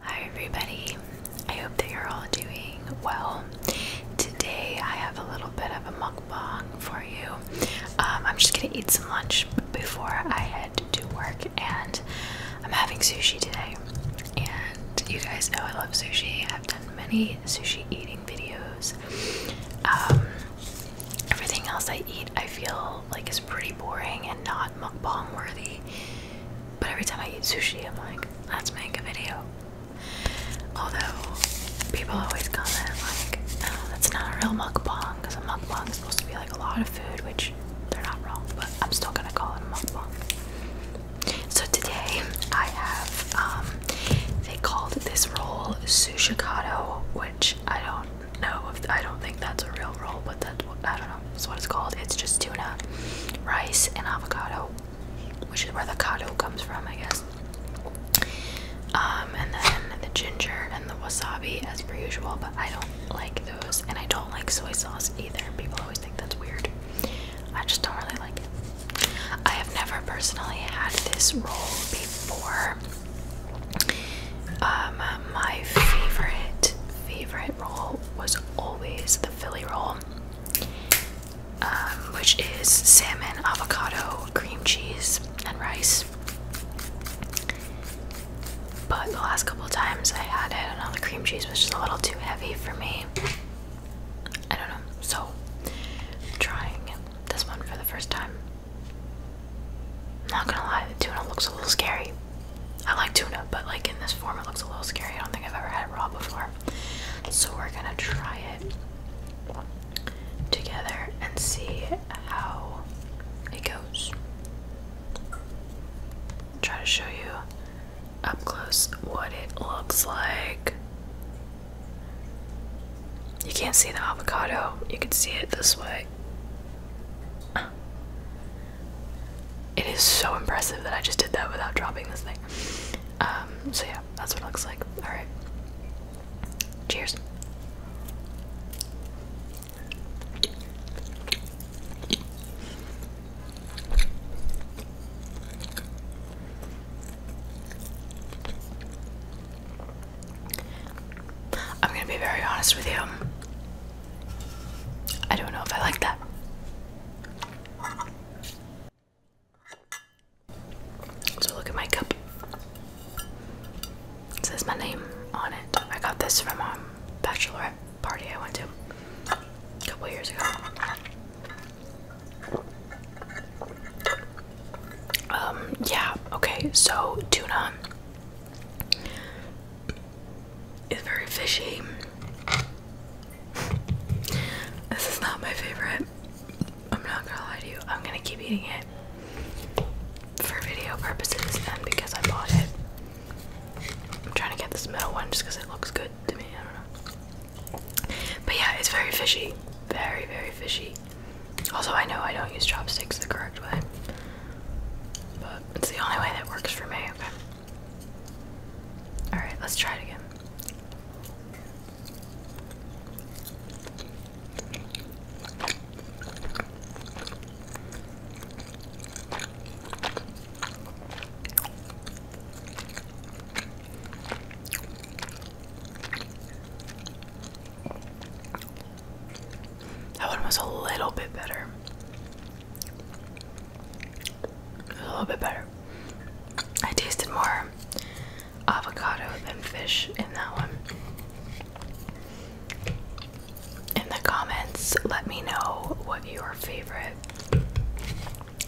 Hi everybody, I hope that you're all doing well. Today I have a little bit of a mukbang for you. Um, I'm just gonna eat some lunch before I head to work and I'm having sushi today. And you guys know I love sushi. I've done many sushi eating videos. Um, everything else I eat I feel like is pretty boring and not mukbang worthy. But every time I eat sushi, I'm like, let's make a video. Although people always comment like, oh, that's not a real mukbang because a mukbang is supposed to be like a lot of food, which they're not wrong, but I'm still gonna call it a mukbang. So today I have um, they called this roll sushi kado, which I don't know if I don't think that's a real roll, but that's what I don't know that's what it's called. It's just tuna, rice, and avocado, which is where the kado comes from, I guess. Um, and then the ginger and the wasabi, as per usual, but I don't like those, and I don't like soy sauce either. People always think that's weird. I just don't really like it. I have never personally had this roll before. Um, my favorite favorite roll was always the Philly roll, um, which is salmon, avocado, cream cheese, and rice. But the last couple times I had it, I know, the cream cheese was just a little too heavy for me. I don't know, so I'm trying this one for the first time. Not gonna lie, the tuna looks a little scary. I like tuna, but like in this form, it looks a little scary. I don't think I've ever had it raw before. So we're gonna try it together and see how it goes. Try to show you up close what it looks like. You can't see the avocado, you can see it this way. It is so impressive that I just did that without dropping this thing. Um, so yeah, that's what it looks like. Alright. Cheers. I'm gonna be very honest with you. I don't know if I like that. So look at my cup. It says my name on it. I got this from a um, bachelorette party I went to a couple years ago. Um, yeah, okay, so tuna it's very fishy. This is not my favorite. I'm not gonna lie to you. I'm gonna keep eating it for video purposes and because I bought it. I'm trying to get this middle one just because it looks good to me. I don't know. But yeah, it's very fishy. Very, very fishy. Also, I know I don't use chopsticks the correct way it's the only way that works for me, okay? Alright, let's try it again. That one was a little bit better. A little bit better. I tasted more avocado than fish in that one. In the comments, let me know what your favorite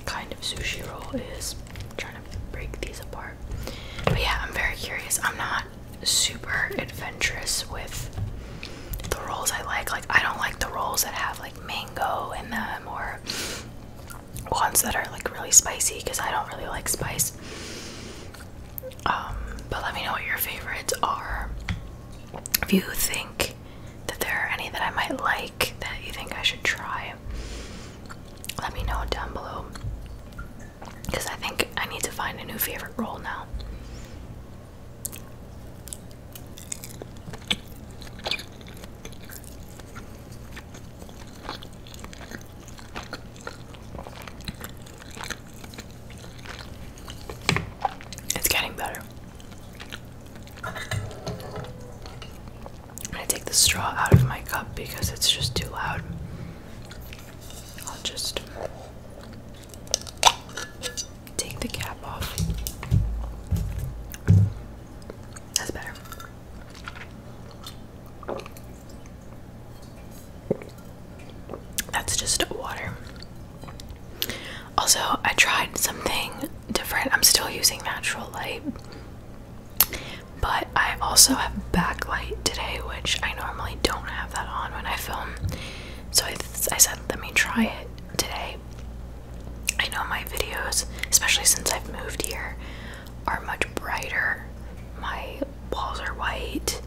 kind of sushi roll is. trying to break these apart. But yeah, I'm very curious. I'm not super adventurous with the rolls I like. Like I don't like the rolls that have like mango in them or ones that are like really spicy because I don't really like spice. Um, but let me know what your favorites are. If you think that there are any that I might like that you think I should try, let me know down below. Because I think I need to find a new favorite roll now. It's getting better. I'm gonna take the straw out of my cup because it's just too loud. I'll just Take the cap off. That's better. That's just water. Also, I tried something different. I'm still using natural light, but I also have backlight today, which I normally don't have that on when I film so I, said, let me try it today. I know my videos, especially since I've moved here, are much brighter. My walls are white,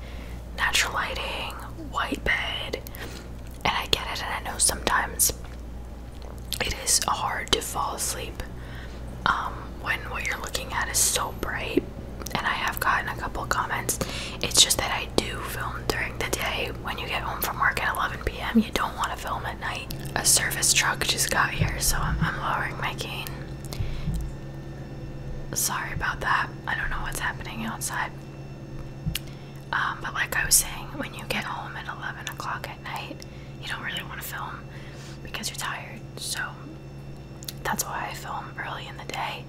natural lighting, white bed, and I get it. And I know sometimes it is hard to fall asleep um, when what you're looking at is so bright and I have gotten a couple comments. It's just that I do film during the day. When you get home from work at 11 p.m., you don't want to film at night. A service truck just got here, so I'm, lowering my cane. Sorry about that. I don't know what's happening outside. Um, but like I was saying, when you get home at 11 o'clock at night, you don't really want to film because you're tired. So that's why I film early in the day.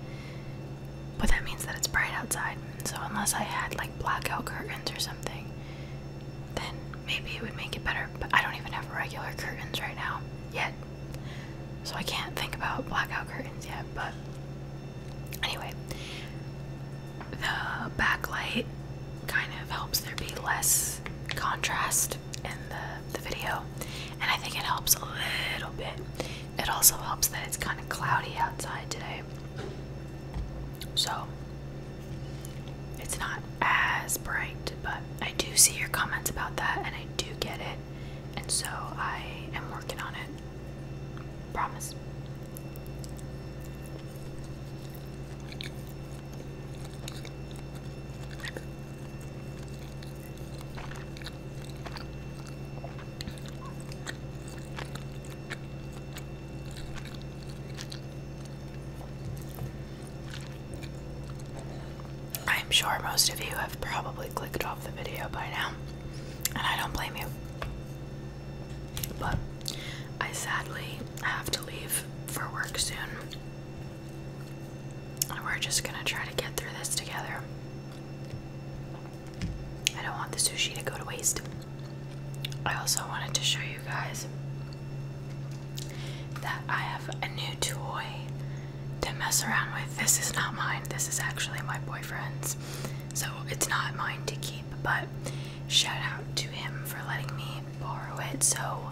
But that means that it's bright outside. So unless I had like blackout curtains or something, then maybe it would make it better. But I don't even have regular curtains right now yet. So I can't think about blackout curtains yet, but anyway, the backlight kind of helps there be less contrast in the the video, and I think it helps a little bit. It also helps that it's kind of cloudy outside today, so it's not as bright. But I do see your comments about that, and I do get it, and so I am working on it. Promise. I'm sure most of you have probably clicked off the video by now, and I don't blame you. But I sadly have to leave for work soon. And we're just gonna try to get through this together. I don't want the sushi to go to waste. I also wanted to show you guys that I have a new toy to mess around with. This is not mine, this is actually my boyfriend's. So it's not mine to keep, but shout out to him for letting me borrow it. So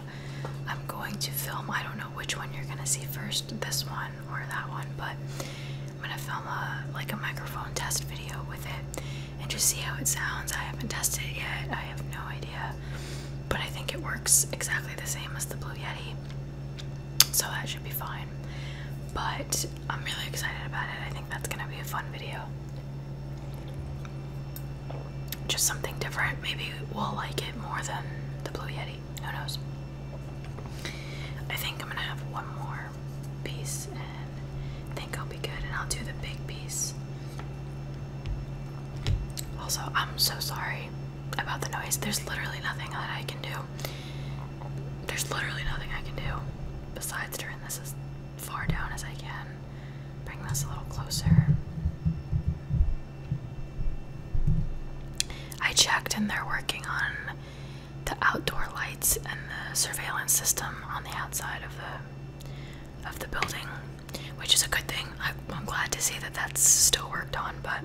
I'm going to film, I don't know which one you're gonna see first, this one one that one, but I'm gonna film a like a microphone test video with it and just see how it sounds. I haven't tested it yet. I have no idea, but I think it works exactly the same as the Blue Yeti, so that should be fine. But I'm really excited about it. I think that's gonna be a fun video. Just something different. Maybe we'll like it more than the Blue Yeti. Who knows? I think I'm gonna have one more piece and think I'll be good, and I'll do the big piece. Also, I'm so sorry about the noise. There's literally nothing that I can do. There's literally nothing I can do besides turn this as far down as I can. Bring this a little closer. I checked, and they're working on the outdoor lights and the surveillance system on the outside of the of the building, which is a good thing. I, am glad to see that that's still worked on, but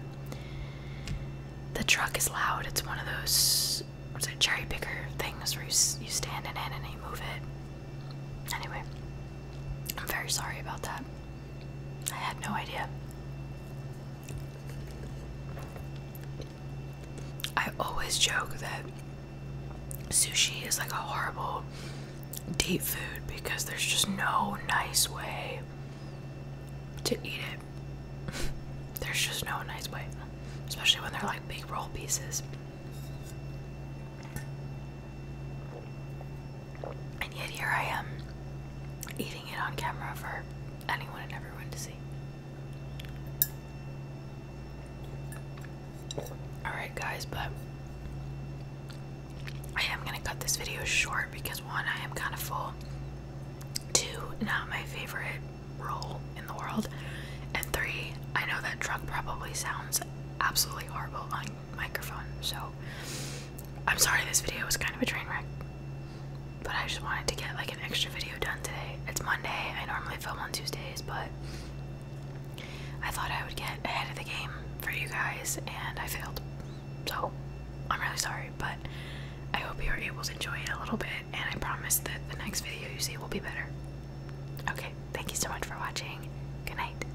the truck is loud. It's one of those what's cherry picker things where you you stand in it and you move it. Anyway, I'm very sorry about that. I had no idea. I always joke that sushi is like a horrible date food because there's just no nice way to eat it. there's just no nice way, especially when they're like big roll pieces. And yet here I am eating it on camera for anyone and everyone to see. Alright, guys, but I am going to cut this video short because one, I am kind of full, two, not my favorite role in the world, and three, I know that truck probably sounds absolutely horrible on microphone, so I'm sorry this video was kind of a train wreck. But I just wanted to get like an extra video done today. It's Monday. I normally film on Tuesdays, but I thought I would get ahead of the game for you guys and I failed. So I'm really sorry, but I hope you are able to enjoy it a little bit and I promise that the next video you see will be better. Okay, thank you so much for watching. Good night.